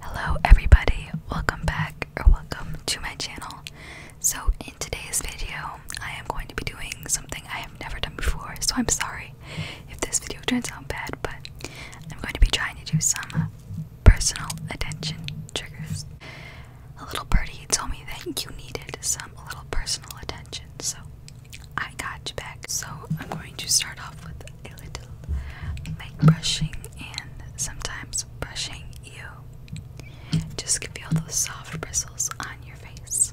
Hello everybody, welcome back or welcome to my channel. So in today's video, I am going to be doing something I have never done before, so I'm sorry if this video turns out bad, but I'm going to be trying to do some personal attention triggers. A little birdie told me that you needed some little personal attention, so I got you back. So I'm going to start off with a little mic brushing and sometimes brushing you just to feel those soft bristles on your face.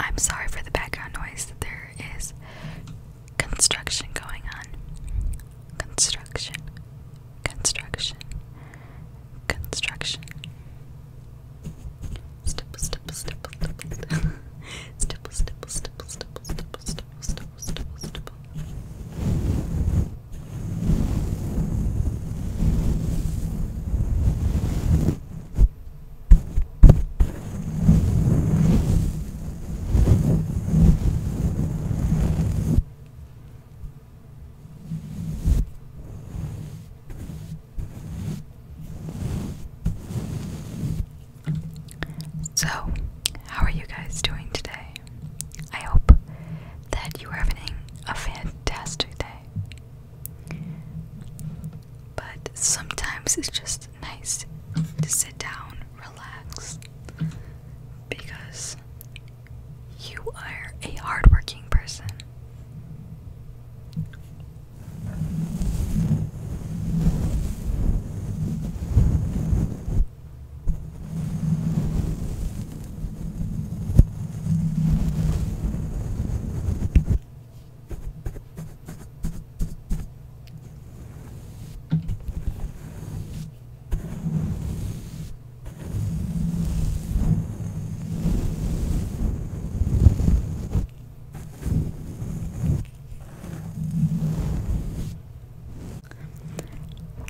I'm sorry for the background noise. There is construction going on. Construction construction, construction. Stipple, stipple, stipple, stipple, stipple, stipple, stipple, stipple, stipple, stipple, so, how are you guys doing today? I hope that you are having a fantastic day. But sometimes it's just nice to sit down, relax, because you are a hardworking person.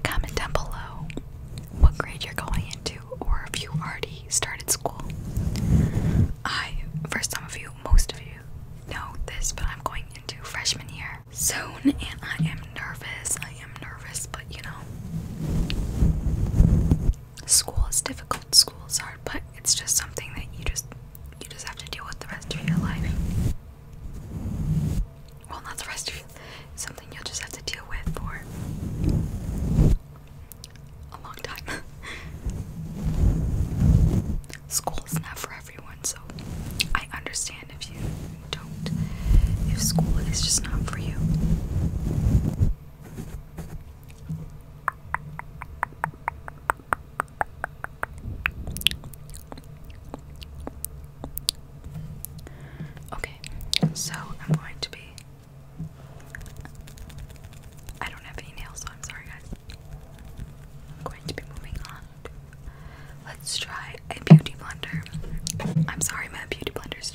Comment down below what grade you're going into or if you already started school. I, for some of you, most of you know this, but I'm going into freshman year soon and I am nervous. I am nervous, but you know, school is difficult. School is hard, but it's just something that you just you just have to deal with the rest of your life. Well, not the rest of your, something you'll just have to deal with for a long time. School is not for everyone, so I understand if you don't if school is just not for you. Okay, so I'm going to be. I don't have any nails, so I'm sorry, guys. I'm going to be moving on. Let's try a beauty blender. I'm sorry, my beauty blender is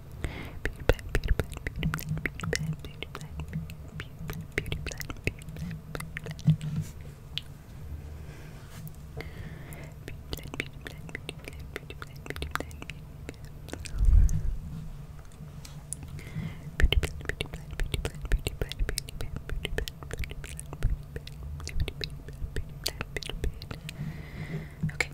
Beauty blend, beauty blend, beauty blend, beauty blend, beauty blend, beauty blend, beauty blend, beauty blend, beauty blend. Beauty blend, beauty blend, beauty blend, beauty blend, beauty blend. Beauty blend, beauty blend, beauty blend, beauty blend, beauty blend, beauty blend, beauty blend, beauty blend, beauty blend, beauty blend, beauty blend. Okay.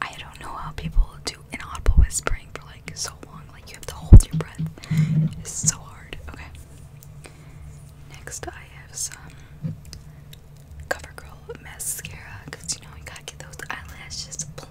I don't know how people do inaudible whispering for like so long. Like you have to hold your breath. It's so hard. Okay. Next, I have some CoverGirl mascara because you know we gotta get those eyelashes plump.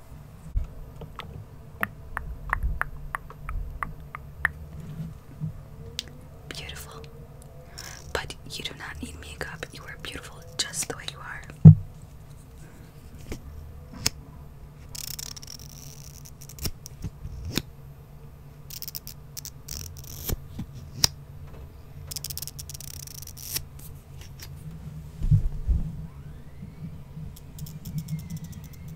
Beautiful. But you do not need makeup. You are beautiful just the way you are.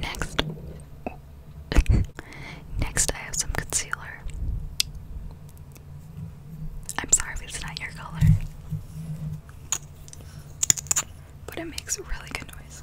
Next, next I have some concealer. I'm sorry it's not your color. But it makes a really good noise.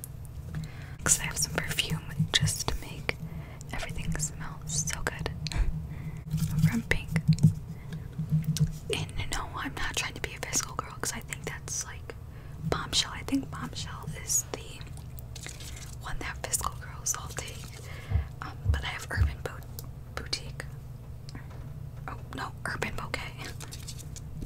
Because I have some perfume just to make everything smell so good. From Pink. And no, I'm not trying to be a physical girl I think that's like Bombshell. I think Bombshell is the one that physical girls all take. Um, but I have Urban Boutique. Oh, no, Urban Bouquet.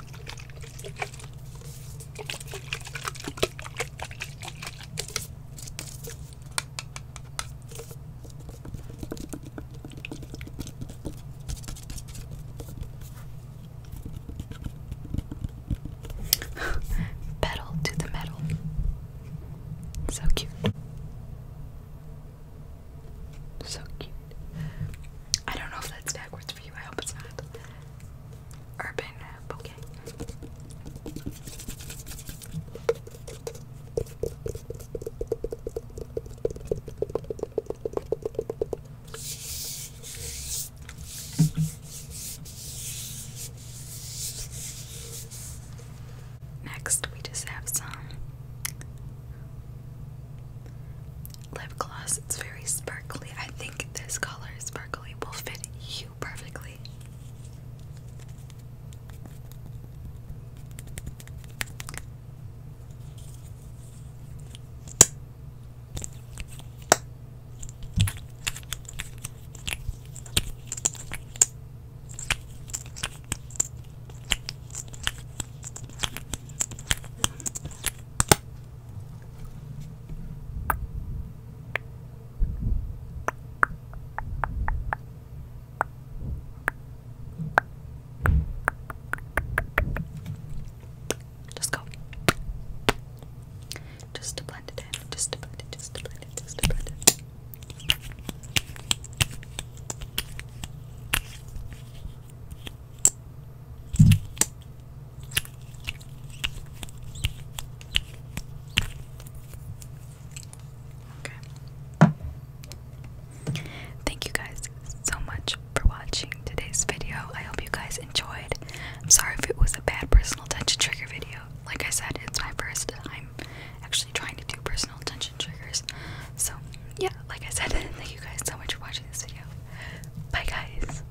Pedal to the metal. So cute. So cute. I don't know if that's backwards for you. I hope it's not. Urban Bouquet. Next, we just have some lip gloss. It's very sparkly. I think this color is sparkly will fit you perfectly. Just go. Just to blend it in. Just to blend it. Just to blend it. Just to blend it. Thank you guys so much for watching today's video. I hope you guys enjoyed. I'm sorry if it was a bad personal attention trigger video. Like I said, it's my first time actually trying to do personal attention triggers. So, yeah, like I said, thank you guys so much for watching this video. Bye, guys.